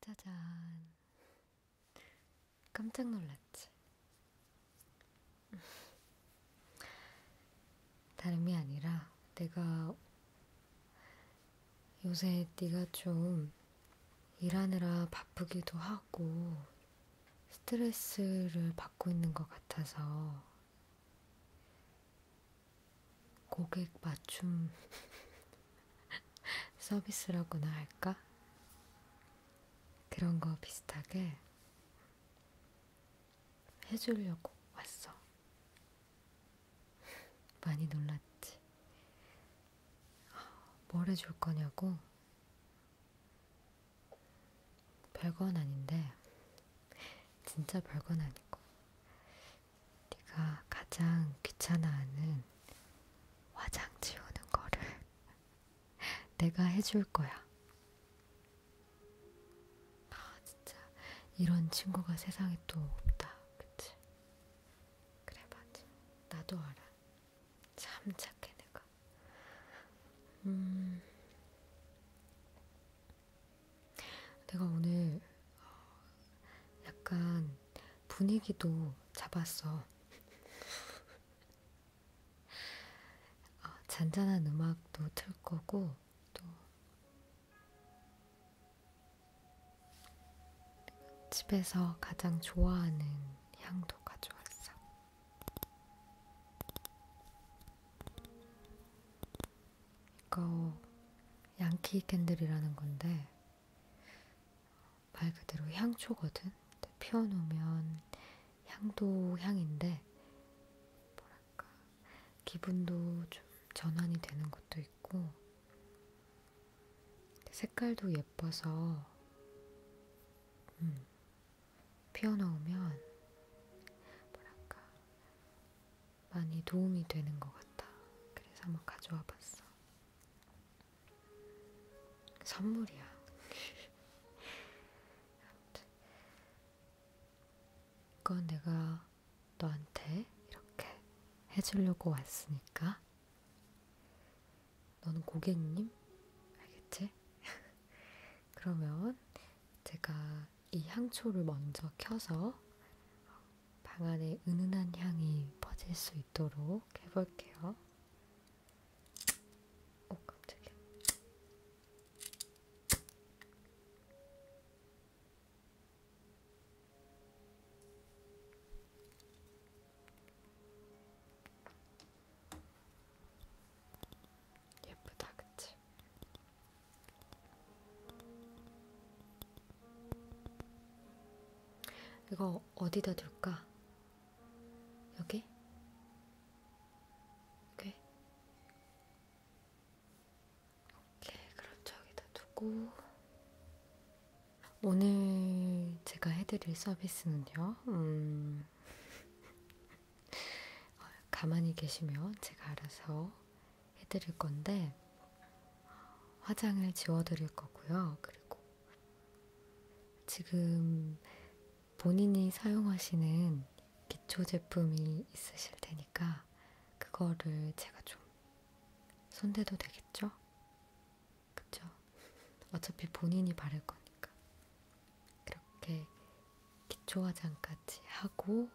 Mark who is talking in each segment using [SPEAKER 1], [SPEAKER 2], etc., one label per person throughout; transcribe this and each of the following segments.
[SPEAKER 1] 짜잔. 깜짝 놀랐지? 다름이 아니라 내가 요새 네가 좀 일하느라 바쁘기도 하고 스트레스를 받고 있는 것 같아서 고객 맞춤 서비스라고나 할까? 그런 거 비슷하게 해주려고 왔어. 많이 놀랐지. 뭘 해줄 거냐고? 별건 아닌데, 진짜 별건 아니고, 네가 가장 귀찮아하는 화장 지우는 거를 내가 해줄 거야. 아, 진짜 이런 친구가 세상에 또 없다. 그치? 그래, 맞아. 나도 알아. 참 착해, 내가. 음... 내가 오늘 어, 약간 분위기도 잡았어. 어, 잔잔한 음악도 틀 거고, 또 집에서 가장 좋아하는 향도 가져왔어. 이거 양키 캔들이라는 건데, 말 그대로 향초거든. 피워놓으면 향도 향인데 뭐랄까 기분도 좀 전환이 되는 것도 있고 색깔도 예뻐서 음, 피워놓으면 뭐랄까 많이 도움이 되는 것 같아. 그래서 한번 가져와 봤어. 선물이야. 아무튼. 이건 내가 너한테 이렇게 해주려고 왔으니까. 너는 고객님? 알겠지? 그러면 제가 이 향초를 먼저 켜서 방 안에 은은한 향이 퍼질 수 있도록 해볼게요. 오, 깜짝이야. 예쁘다, 그치? 이거 어디다 둘까? 여기? 오케이. 오케이. 그럼 저기다 두고. 오늘 제가 해드릴 서비스는요, 음. 어, 가만히 계시면 제가 알아서 해드릴 건데 화장을 지워드릴 거고요. 그리고 지금 본인이 사용하시는 기초 제품이 있으실 테니까 그거를 제가 좀 손대도 되겠죠? 그쵸? 어차피 본인이 바를 거니까 그렇게 기초 화장까지 하고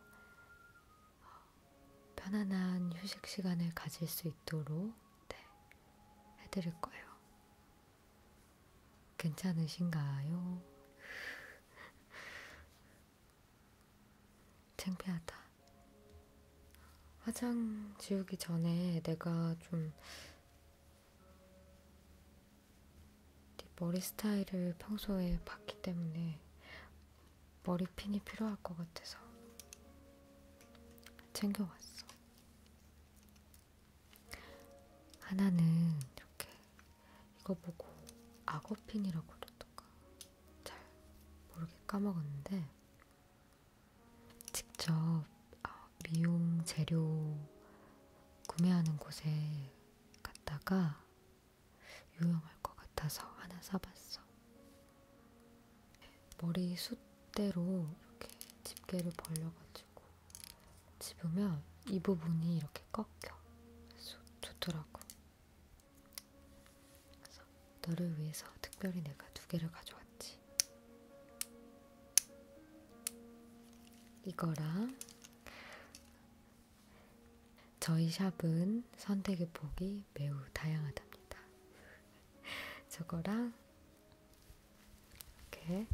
[SPEAKER 1] 편안한 휴식 시간을 가질 수 있도록 네, 해드릴 거예요. 괜찮으신가요? 창피하다. 화장 지우기 전에 내가 좀 네 머리 스타일을 평소에 봤기 때문에 머리핀이 필요할 것 같아서 챙겨왔어. 하나는 이렇게 이거 보고 악어핀이라고 그러던가 잘 모르게 까먹었는데 직접 아, 미용 재료 구매하는 곳에 갔다가 유용할 것 같아서 하나 사봤어. 머리 숱대로 이렇게 집게를 벌려가지고 집으면 이 부분이 이렇게 꺾여. 그래서 좋더라고. 그래서 너를 위해서 특별히 내가 두 개를 가져왔지. 이거랑 저희 샵은 선택의 폭이 매우 다양하답니다. 저거랑 이렇게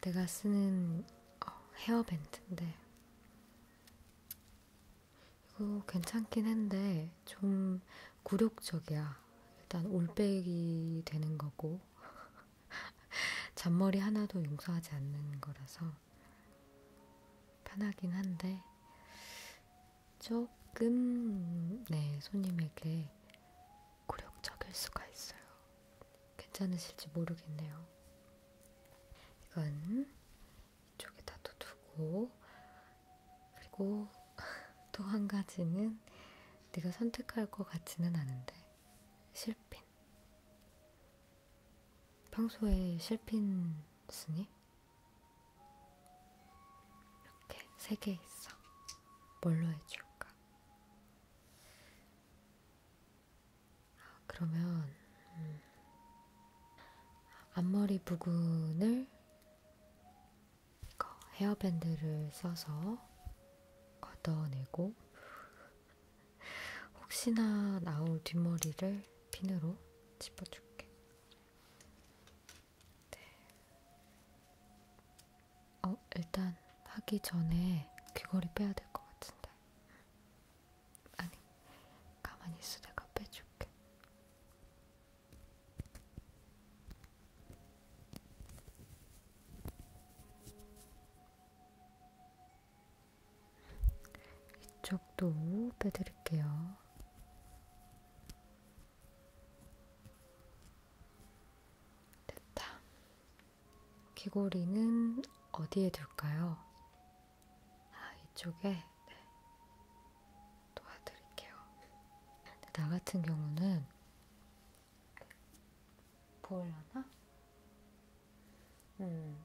[SPEAKER 1] 내가 쓰는 어, 헤어밴드인데 이거 괜찮긴 한데 좀 굴욕적이야. 일단 올백이 되는 거고 잔머리 하나도 용서하지 않는 거라서 편하긴 한데 조금 네 손님에게 굴욕적일 수가 있어요. 괜찮으실지 모르겠네요. 이건 이쪽에다 또 두고 그리고 또 한 가지는 네가 선택할 것 같지는 않은데 실패 실핀. 평소에 실핀 쓰니? 이렇게 세 개 있어. 뭘로 해줄까? 아, 그러면 음, 앞머리 부분을 헤어밴드를 써서 걷어내고 혹시나 나올 뒷머리를 핀으로 짚어줄게. 네. 어, 일단 하기 전에 귀걸이 빼야 될 것 같은데. 아니, 가만히 있어. 내가 빼줄게. 이쪽도 빼드릴게요. 됐다. 귀고리는 어디에 둘까요? 아, 이쪽에 네. 도와드릴게요. 나 같은 경우는 보려나? 음,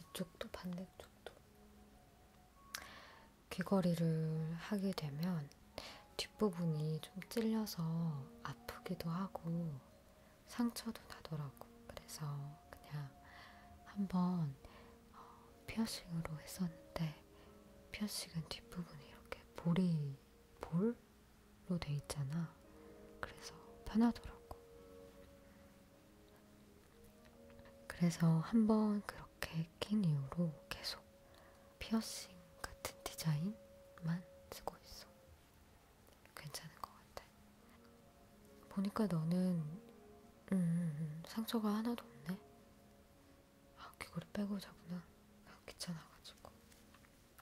[SPEAKER 1] 이쪽도 반대쪽도 귀걸이를 하게 되면 뒷부분이 좀 찔려서 아프기도 하고 상처도 나더라고. 그래서 그냥 한번 어, 피어싱으로 했었는데 피어싱은 뒷부분이 이렇게 볼이 볼로 돼 있잖아. 그래서 편하더라고. 그래서 한번 그렇게 낀 이후로 계속 피어싱 같은 디자인만 쓰고 있어. 괜찮은 것 같아. 보니까 너는 음, 음, 음 상처가 하나도 없네. 아, 귀걸이 빼고 자구나. 아, 귀찮아가지고.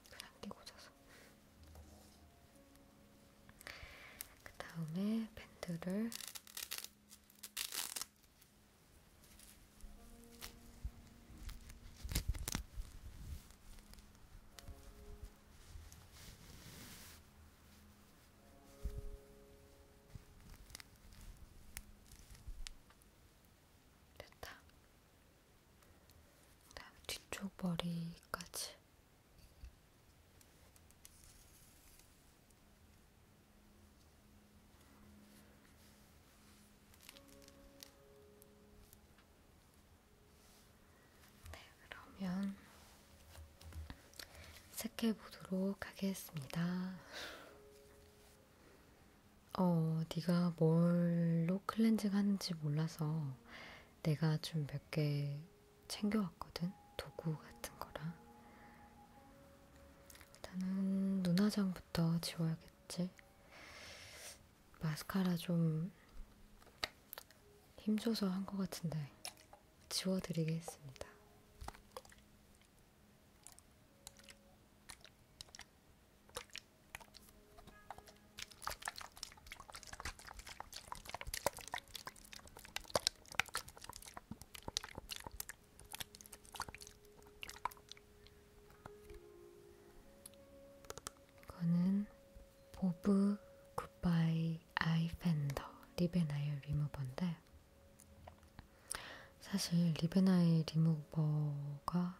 [SPEAKER 1] 그냥 끼고 자서. 그 다음에 밴드를 됐다. 그다음 뒤쪽 머리까지. 네, 그러면 색해 보도록 하겠습니다. 어, 네가 뭘로 클렌징 하는지 몰라서 내가 좀 몇 개 챙겨왔거든? 도구 같은 거랑. 일단은 눈화장부터 지워야겠지. 마스카라 좀 힘줘서 한 것 같은데 지워드리겠습니다. 이거는 보브 굿바이 아이 펜더 리베나일 리무버인데 사실 리베나일 리무버가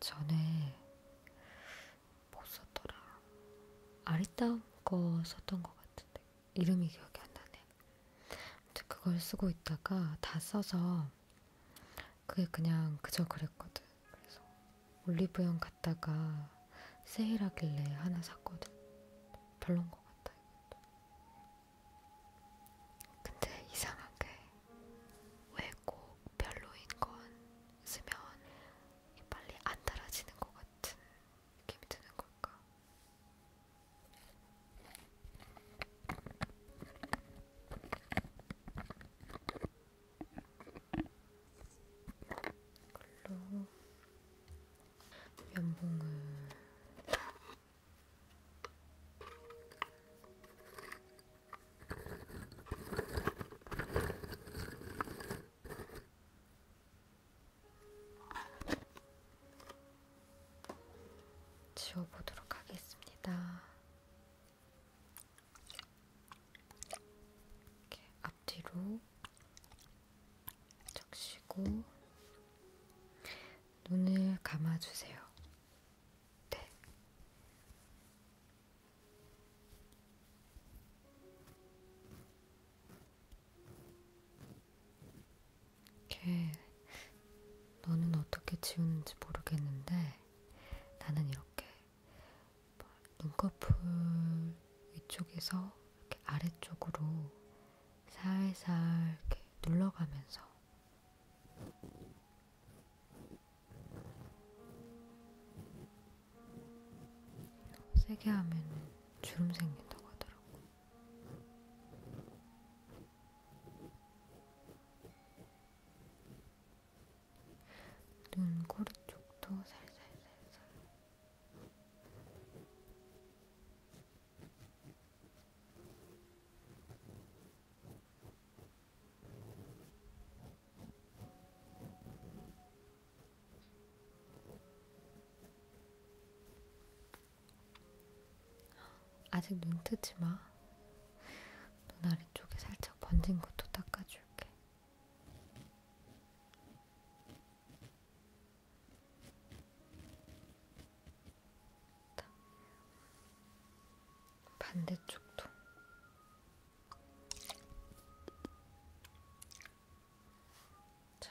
[SPEAKER 1] 전에 뭐 썼더라? 아리따움 거 썼던 것 같은데 이름이 기억이 안 나네. 아무튼 그걸 쓰고 있다가 다 써서 그게 그냥 그저 그랬거든. 그래서 올리브영 갔다가 세일하길래 하나 샀거든. 별론 것 같아. 이것도. 근데 이상하게 외고 별로인 건 쓰면 빨리 안 달아지는 것 같은 느낌이 드는 걸까? 이걸로 면봉을 지워보도록 하겠습니다. 이렇게 앞뒤로 적시고 눈을 감아주세요. 네. 걔, 너는 어떻게 지우는지 모르겠는데, 나는 이렇게 뭐 눈꺼풀 위쪽에서 이렇게 아래쪽으로 살살 이렇게 눌러가면서 세게 하면 주름 생긴다고 하더라고. 눈, 꼬리 쪽도 살살살살. 아직 눈 뜨지 마. 눈 아래쪽에 살짝 번진 것도 닦아줄게. 반대쪽도 자.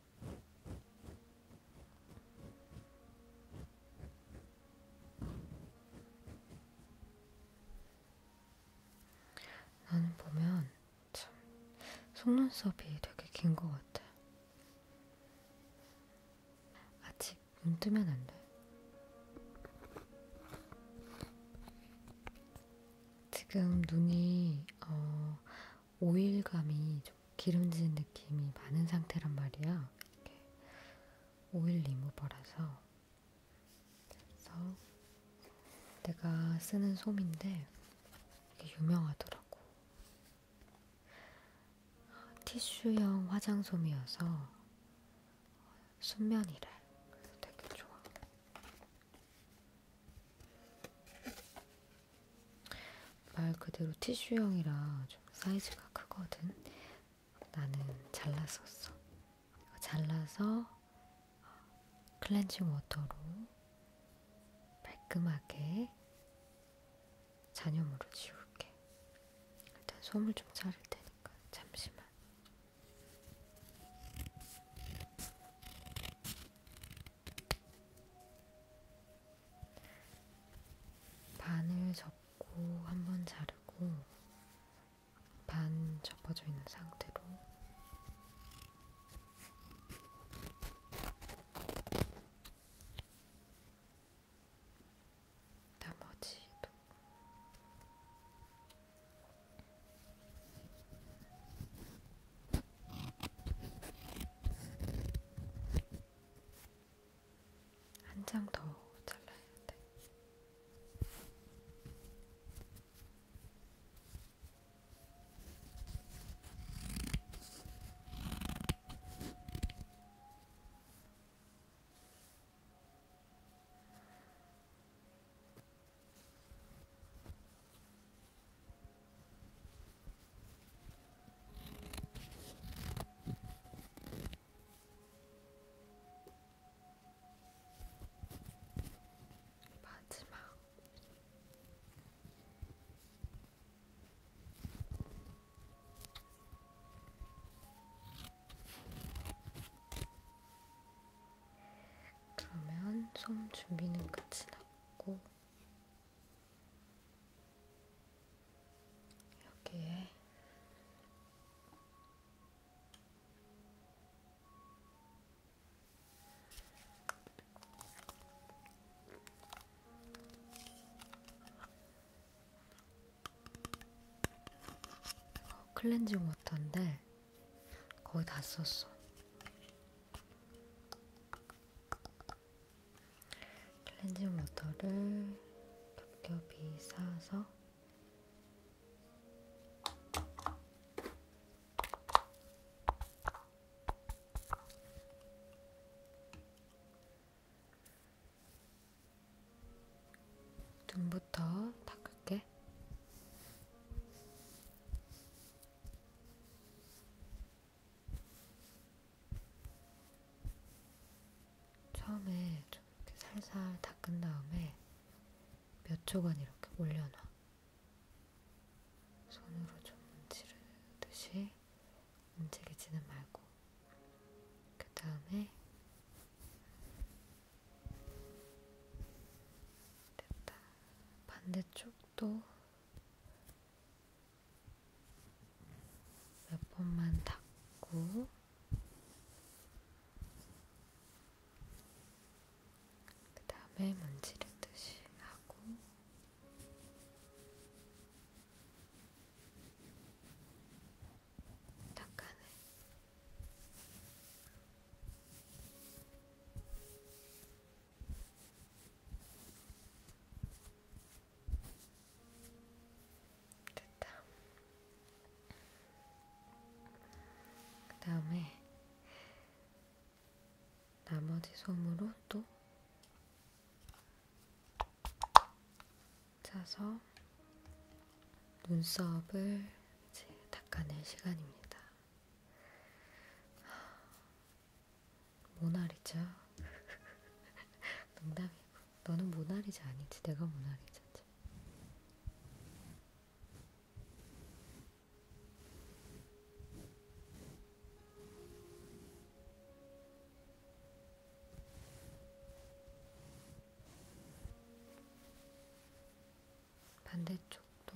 [SPEAKER 1] 나는 보면 참 속눈썹이 되게 긴 것 같아. 아직 눈 뜨면 안 돼. 지금 눈이 어, 오일감이 좀 기름진 느낌이 많은 상태란 말이야. 이렇게 오일 리무버라서. 그래서 내가 쓰는 솜인데 이게 유명하더라고. 티슈형 화장솜이어서 순면이래. 되게 좋아. 말 그대로 티슈형이라 좀 사이즈가 크거든. 나는 잘랐었어. 잘라서 어, 클렌징 워터로 깔끔하게 잔여물을 지울게. 일단 솜을 좀 자를 테니까 잠시만. 반을 접고 한 번 자르고 반 접어져 있는 상태로 나머지도 한장더 잘라야 돼. 마지막 그러면 솜 준비는 끝이다. 있고 여기에 클렌징 워터인데 거의 다 썼어. 클렌징 워터를 겹겹이 쌓아서 눈부터 닦을게. 처음에 좀 이렇게 살살 닦은 다음에 몇 초간 이렇게 올려놔. 손으로 좀 문지르듯이 움직이지는 말고. 그 다음에 됐다. 반대쪽 또몇 번만 닦고 그 다음에 먼지를 듯이 하고 닦아내 됐다. 그 다음에 나머지 솜으로 또 짜서 눈썹을 이제 닦아낼 시간입니다. 모나리자 농담이고 너는 모나리자 아니지 내가 모나리자지 반대쪽도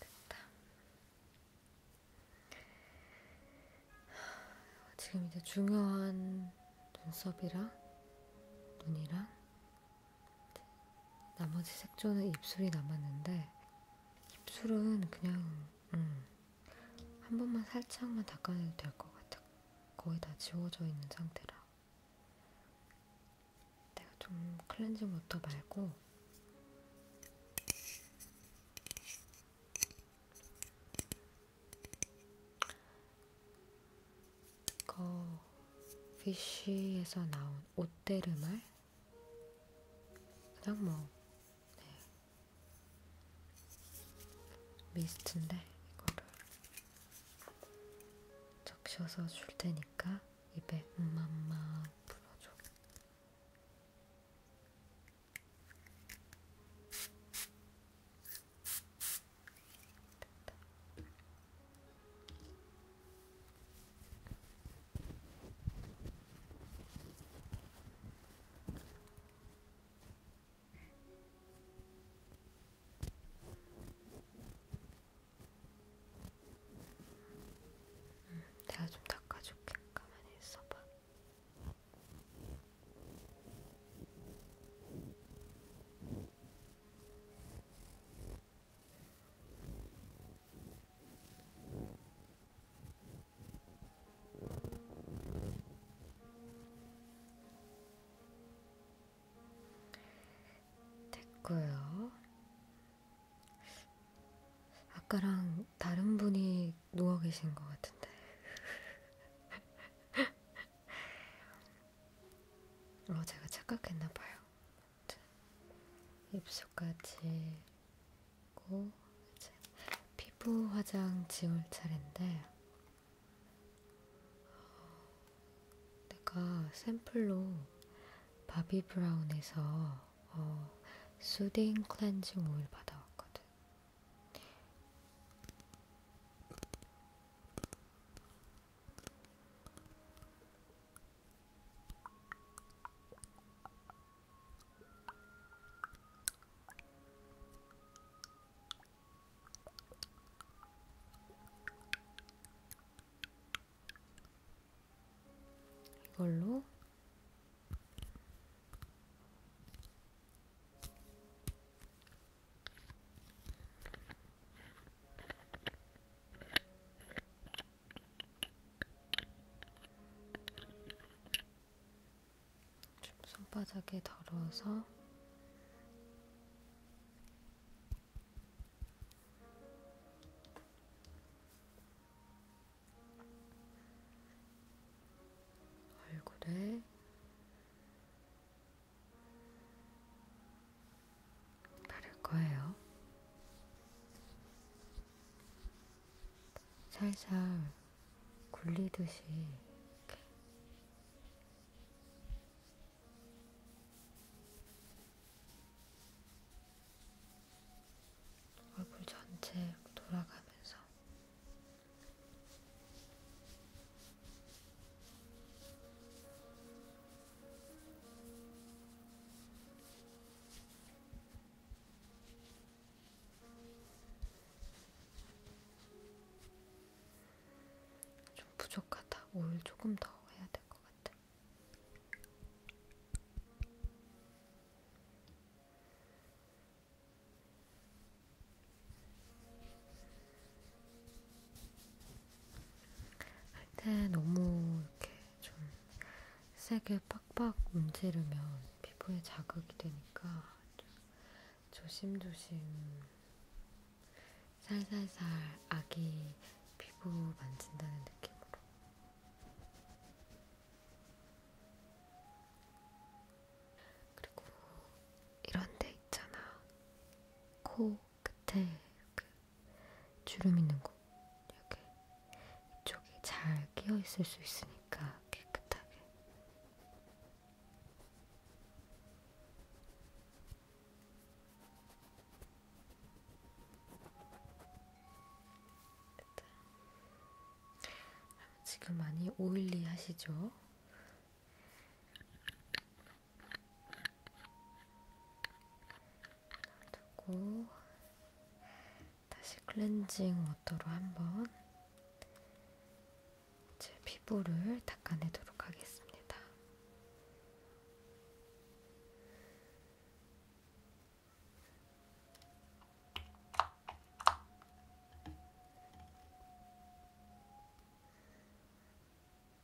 [SPEAKER 1] 됐다. 지금 이제 중요한 눈썹이랑 눈이랑 나머지 색조는 입술이 남았는데 입술은 그냥 음, 한 번만 살짝만 닦아내도 될 것 같아. 거의 다 지워져 있는 상태라. 내가 좀 클렌징 워터 말고 이거 피쉬에서 나온 오떼르말 그냥 뭐 네. 미스트인데 이거를 적셔서 줄 테니까 입에 음맘마 불어줘. 됐다. 음, 내가 좀 닦아줄게. 가만히 있어봐. 음. 됐고요. 아까랑 다른 분이 누워 계신 것 같은데. 어, 제가 착각했나봐요. 입술까지 고 이제 피부 화장 지울 차례인데 어, 내가 샘플로 바비 브라운에서 어, 수딩 클렌징 오일 받아왔거든. 이걸로 좀 손바닥에 덜어서 얼굴에 바를 거예요. 살살 굴리듯이 이렇게. 얼굴 전체 돌아가면서 좀 부족하다. 오일 조금 더 해야 될 것 같아. 할때 너무 이렇게 좀 세게 빡빡 문지르면 피부에 자극이 되니까 좀 조심조심 살살살 아기 피부 만진다는 느낌으로 그리고 이런 데 있잖아 코 끝에 그 주름 있는 곳 이렇게 이쪽이 잘 끼어 있을 수 있으니까 깨끗하게 지금 많이 오일리 하시죠? 두고 다시 클렌징 워터로 한번 제 피부를 닦아내도록 하겠습니다.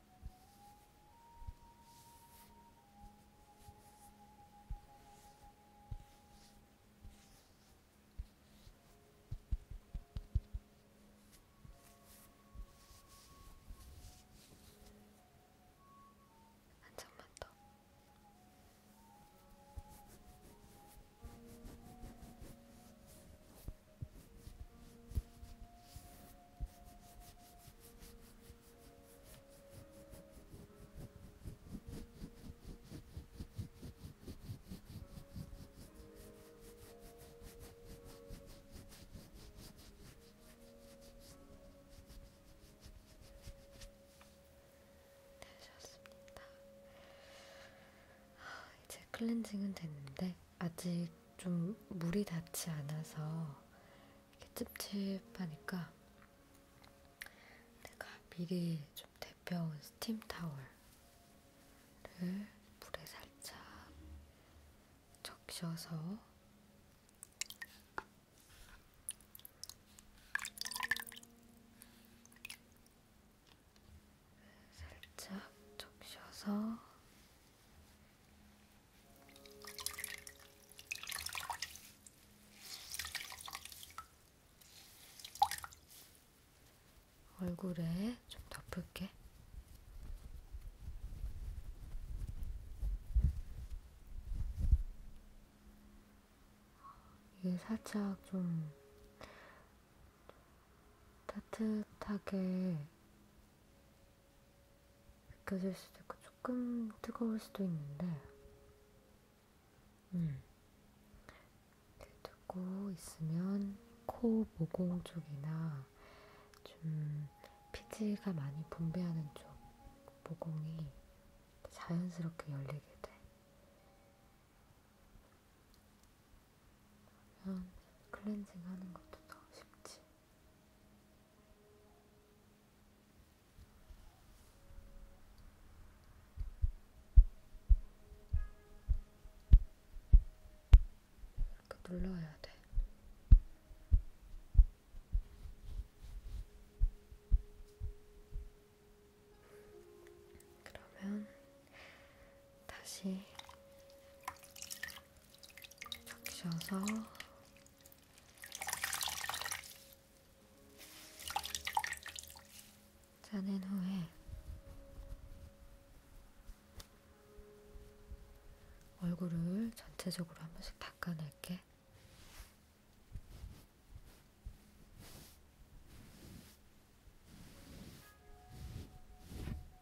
[SPEAKER 1] 한 점만 더. 되셨습니다. 아, 이제 클렌징은 됐는데 아직 좀 물이 닿지 않아서 찝찝하니까 내가 미리 좀 데펴온 스팀 타월을 물에 살짝 적셔서 살짝 적셔서 얼굴에 좀 덮을게. 이게 살짝 좀 따뜻하게 느껴질 수도 있고 조금 뜨거울 수도 있는데 음. 듣고 있으면 코 모공 쪽이나 좀 피지가 많이 분비하는 쪽 모공이 자연스럽게 열리게 돼. 그러면 클렌징 하는 것도 더 쉽지. 이렇게 눌러야 돼. 그러면 다시 적셔서 자는 후에 얼굴을 전체적으로 한 번씩 닦아낼게.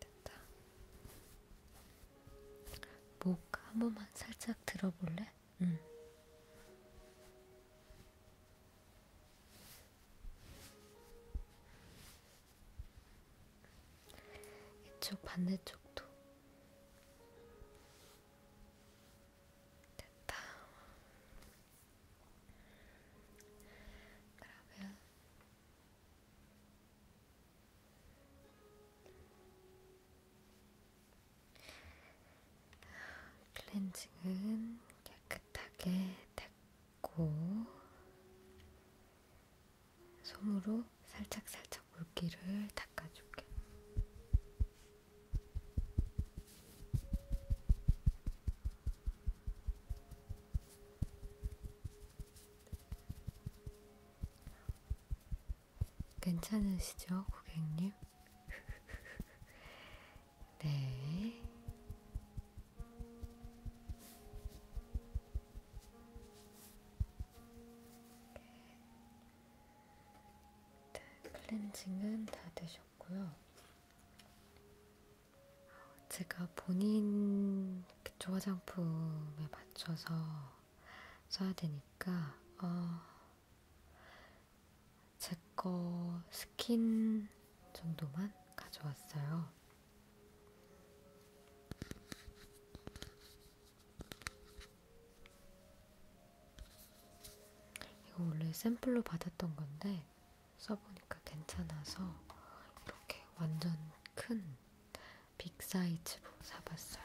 [SPEAKER 1] 됐다. 목한 번만 살짝 들어볼래? 응. 이쪽 반대쪽도 됐다. 그러면 클렌징은 깨끗하게 닦고 솜으로 살짝살짝 물기를 닦아줄게. 괜찮으시죠, 고객님? 네. 네. 클렌징은 다 되셨고요. 아, 제가 본인 그쪽 화장품에 맞춰서 써야 되니까 어, 제거 스킨 정도만 가져왔어요. 이거 원래 샘플로 받았던 건데 써보니까 괜찮아서 이렇게 완전 큰 빅사이즈로 뭐 사봤어요.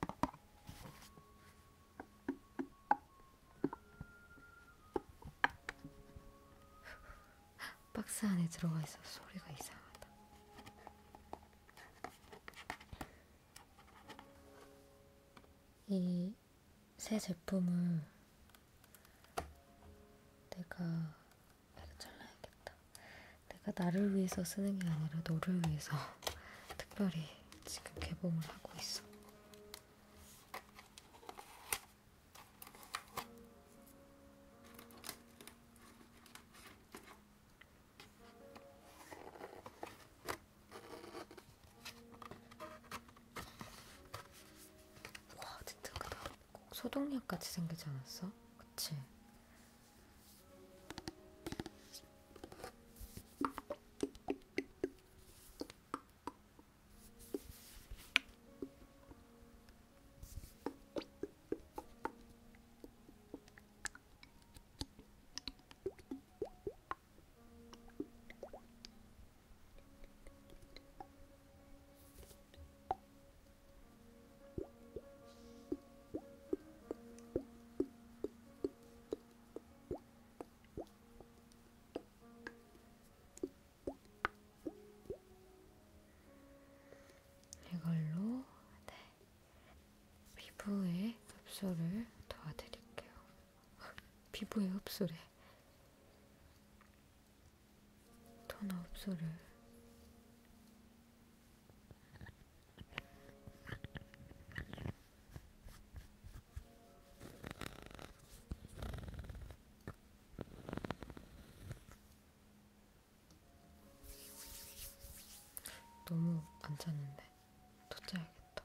[SPEAKER 1] 박스 안에 들어가 있어 소리가 이상하다. 이 새 제품을 내가 이거 잘라야겠다. 내가 나를 위해서 쓰는 게 아니라 너를 위해서 특별히 지금 개봉을 하고 있어. 와, 진짜 크다. 꼭 소독약 같이 생기지 않았어? 그치? 이걸로 네. 피부의 흡수를 도와드릴게요. 피부의 흡수래. 턴업 소를 너무 안 찼는데 더 짜야겠다.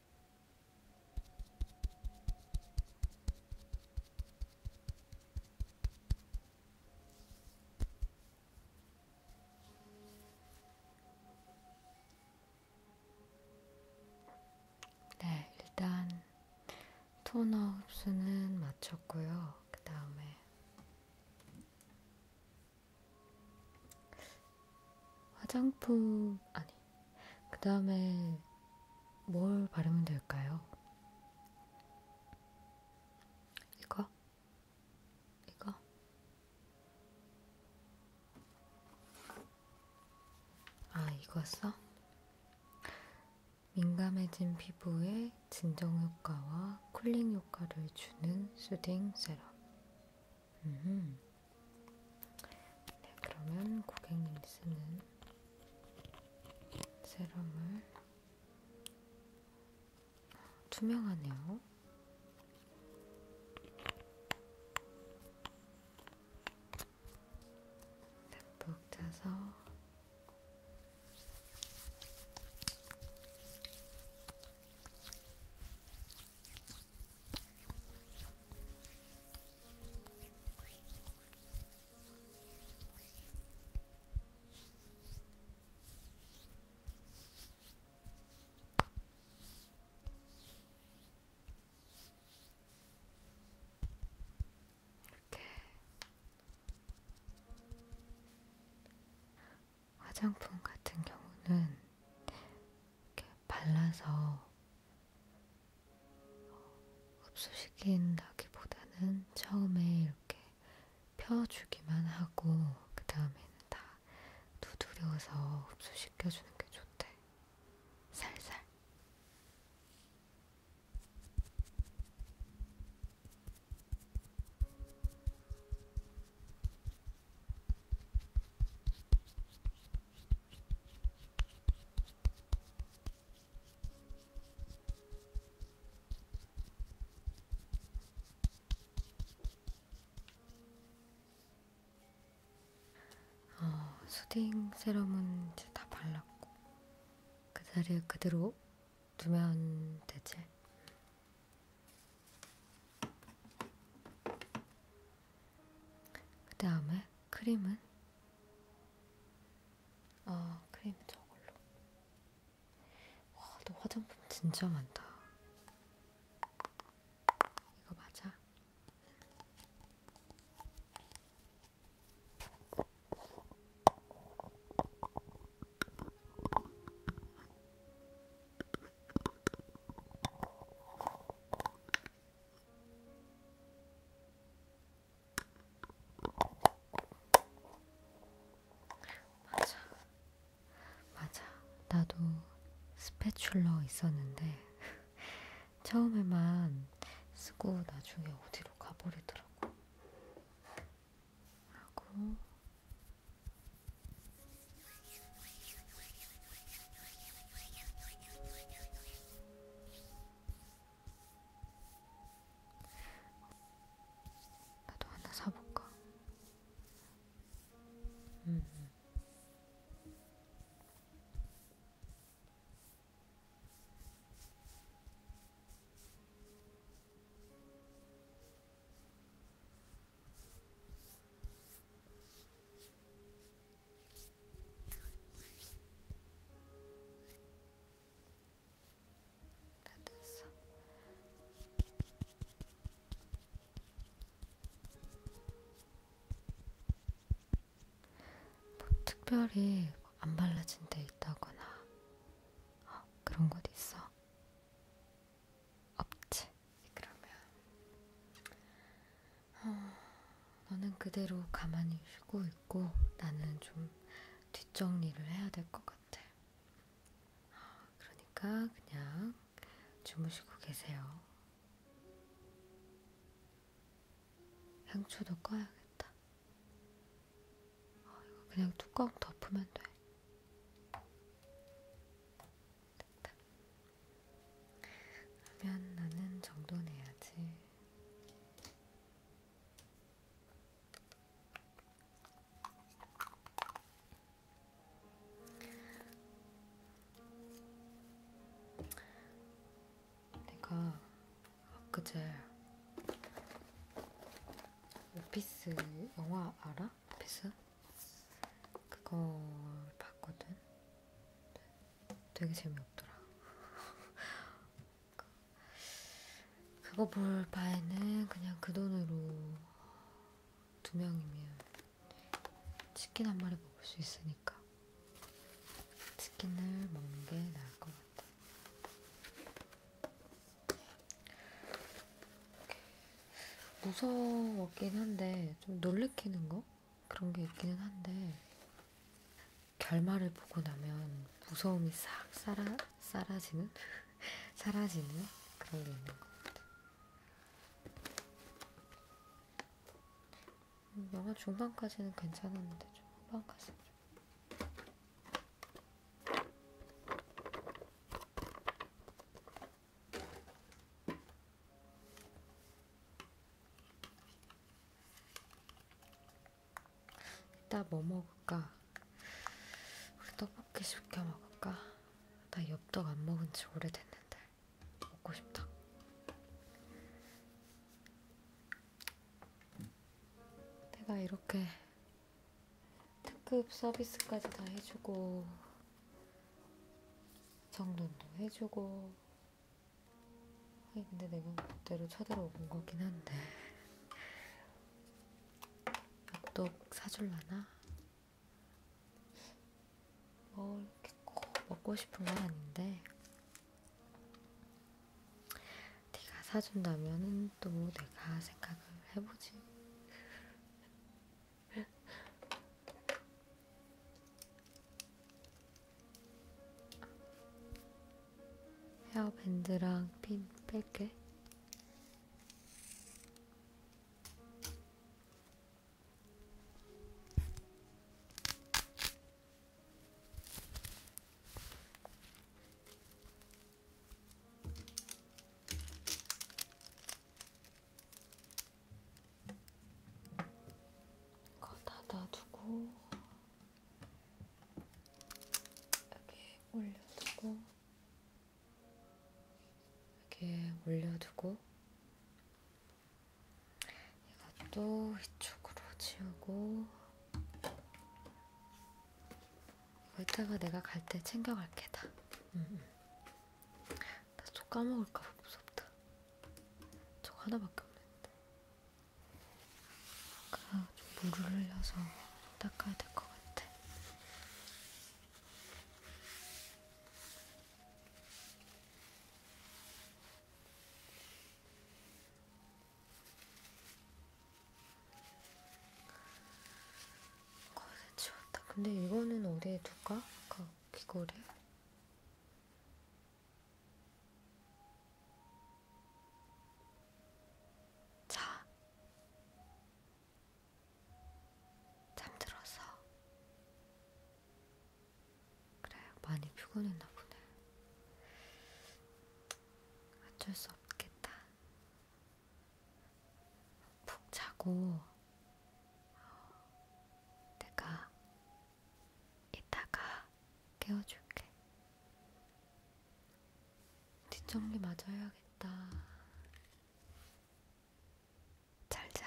[SPEAKER 1] 네, 일단 토너 흡수는 마쳤고요. 그 다음에 화장품 아니 그 다음에 뭘 바르면 될까요? 이거? 이거? 아 이거 써? 민감해진 피부에 진정 효과와 쿨링 효과를 주는 수딩 세럼 음. 네, 그러면 고객님 쓰는 세럼을 투명하네요. 듬뿍 짜서 이렇게 화장품 같은 경우는 이렇게 발라서 어, 흡수시킨다기보다는 처음에 이렇게 펴주기만 하고 그 다음에는 다 두드려서 흡수시켜주는 게 좋대. 살살. 어, 수딩 세럼은 이제 다 발랐고 그 자리에 그대로 두면 되지. 그 다음에 크림은 아 크림은 저걸로 와너 화장품 진짜 많다 이거 맞아? 맞아, 맞아. 나도 스패출러 있었는데 처음에만 쓰고 나중에 어디로 가버리더라고. 하고 나도 하나 사볼까? 음. 다 됐어. 뭐 특별히 안 발라진 데 있다거나 어, 그런 곳 있어? 없지. 그러면 어, 너는 그대로 가만히 쉬고 있고 나는 좀 뒷정리를 해야 될 것 같아. 그러니까 그냥 주무시고 계세요. 향초도 꺼야겠다. 어, 이거 그냥 뚜껑 덮으면 돼. 됐다. 하면 나는 정도 내야지. 내가 엊그제 오피스 영화 알아? 있더라 비스 그걸 봤거든. 되게 재미없더라. 그거 볼 바에는 그냥 그 돈으로 두 명이면 치킨 한 마리 먹을 수 있으니까 치킨을 먹는 게 나을 것 같아. 무서웠긴 한데 좀 놀래키는 거? 그런 게 있기는 한데 결말을 보고 나면 무서움이 싹 사라, 사라지는? 사라지는 그런 게 있는 것 같아요. 음, 영화 중반까지는 괜찮았는데 초반까지 이따 뭐 먹을까? 우리 떡볶이 시켜 먹을까? 나 엽떡 안 먹은 지 오래됐는데 먹고 싶다. 내가 이렇게 특급 서비스까지 다 해주고 정돈도 해주고 하긴 근데 내가 그대로 쳐들어온 거긴 한데 엽떡 사줄라나? 뭐 이렇게 꼭 먹고 싶은 건 아닌데 네가 사준다면은 또 내가 생각을 해보지 헤어밴드랑 핀 뺄게. 이거 닫아두고 여기 올려두고 여기 올려두고 이것도 이쪽으로 지우고 이거 이따가 내가 갈 때 챙겨갈게 다 음. 나저 까먹을까 봐 무섭다. 저 하나밖에 없는데. 아까 좀 물을 흘려서 닦아야 될 것 같아. 거기서 치웠다. 근데 이거는 어디에 둘까? 아까 이거를 자 잠들어서 그래 많이 피곤했나 보네 어쩔 수 없겠다 푹 자고 내가 이따가 깨워줄게. 뒷정리 마저 해야겠다. 잘자.